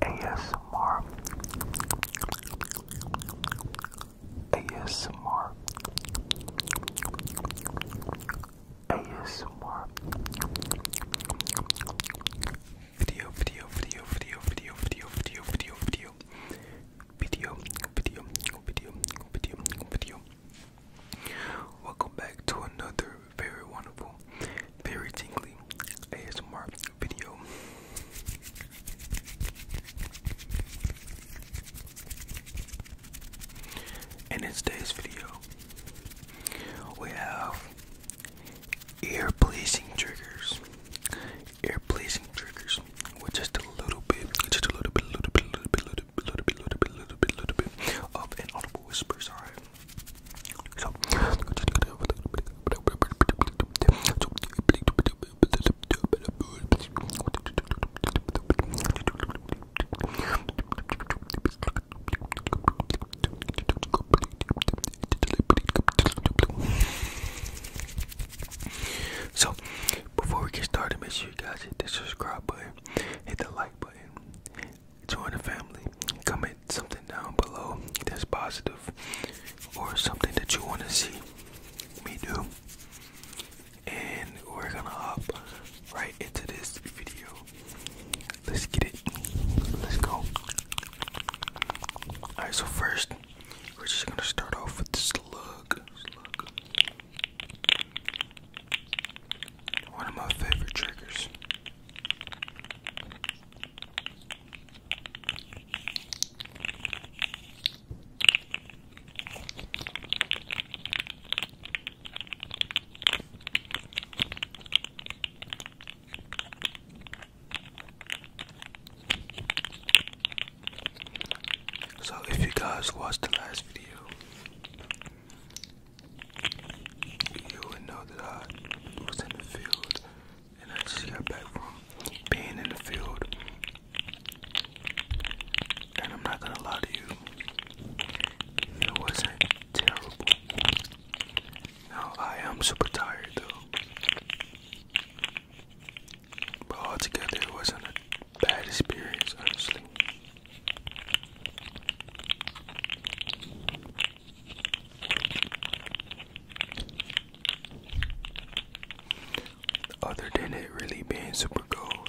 ASMR. ASMR. ASMR. Video, video, video, video, video, video, video, video, video. Video, video, video, video, Welcome back to another very wonderful, very tingly ASMR video. And in today's video, we have ear pleasing triggers. Ear pleasing triggers with just a little bit, just a little bit, little bit, little bit, little bit, little bit, little bit, little bit, little little bit of an audible whisper. Sorry, so, before we get started, make sure you guys hit the subscribe button, hit the like button, join the family, come in something down below that's positive or something that you want to see me do. And we're gonna hop right into this video. Let's get it. Let's go. Alright, so first, we're just gonna start off with this slug. slug. One of my favorite triggers. So, if you guys watched the last video, you would know that I was in the field and I just got back from being in the field. And I'm not gonna lie to you, it wasn't terrible. Now I am super tired though. But altogether, it wasn't a bad experience, honestly. Other than it really being super cold.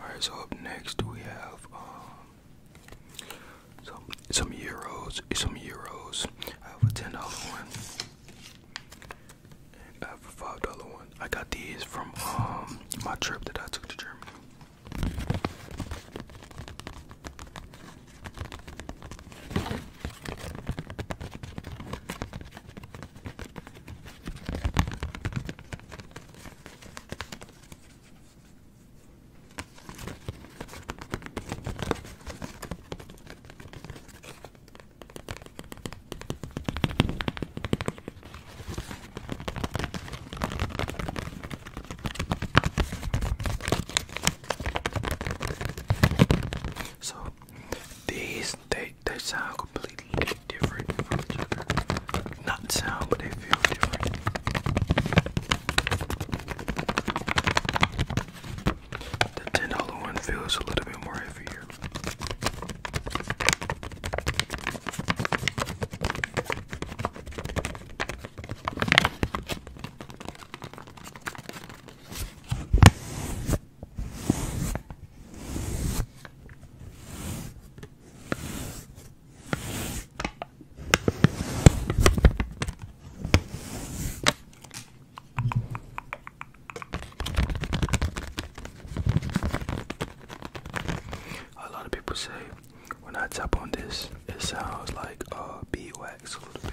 Alright, so up next we have um, some euros, some euros. I have a ten dollar one. I have a five dollar one. I got these from um, my trip that I took to Germany. So these they they sound completely different from each other. Not sound, but they feel different. The ten dollar one feels a little bit more heavier. A lot of people say when I tap on this, it sounds like uh, beeswax a little bit.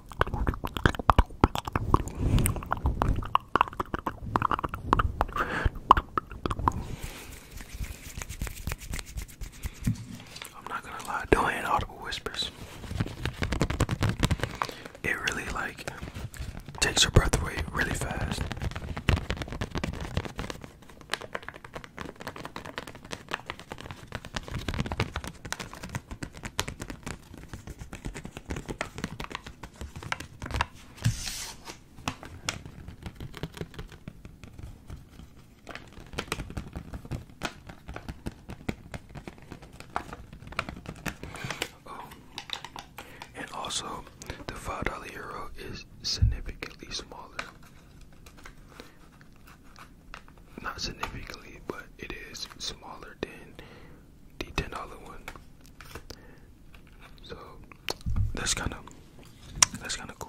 I'm not gonna lie, doing audible whispers. It really like takes your breath away really fast. Um, and also the five dollar euro is significantly smaller not significantly, but it is smaller than the ten dollar one. So that's kind of that's kind of cool.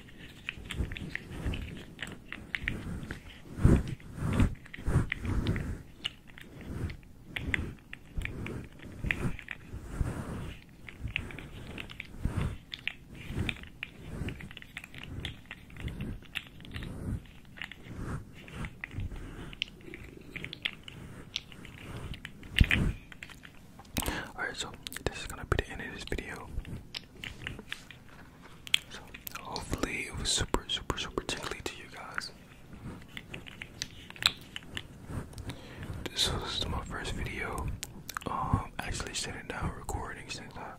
Alright, so this is gonna be the end of this video. So hopefully it was super, super, super tingly to you guys. This was my first video. Um, actually sitting down recording since I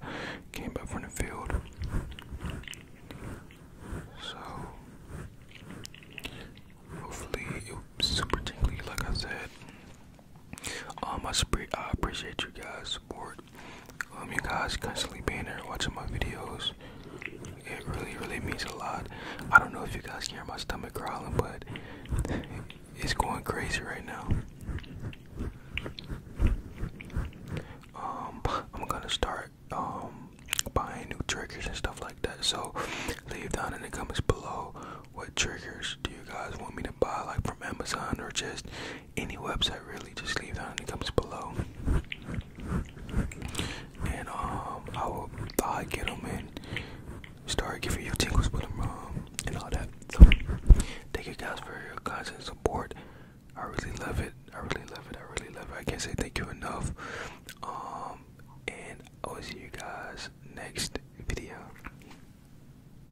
came back from the field. So hopefully it was super tingly, like I said. Um, I, appreciate you guys' support. Um, you guys constantly being there watching my videos. It really, really means a lot. I don't know if you guys can hear my stomach growling, but it's going crazy right now. Um, I'm gonna start um buying new triggers and stuff like that. So leave down in the comments below what triggers do you guys want me to buy, like from Amazon or just any website really just leave that in the comments below and um i will i get them and start giving you tingles with them um, and all that so thank you guys for your constant support i really love it i really love it i really love it i can't say thank you enough um and i will see you guys next video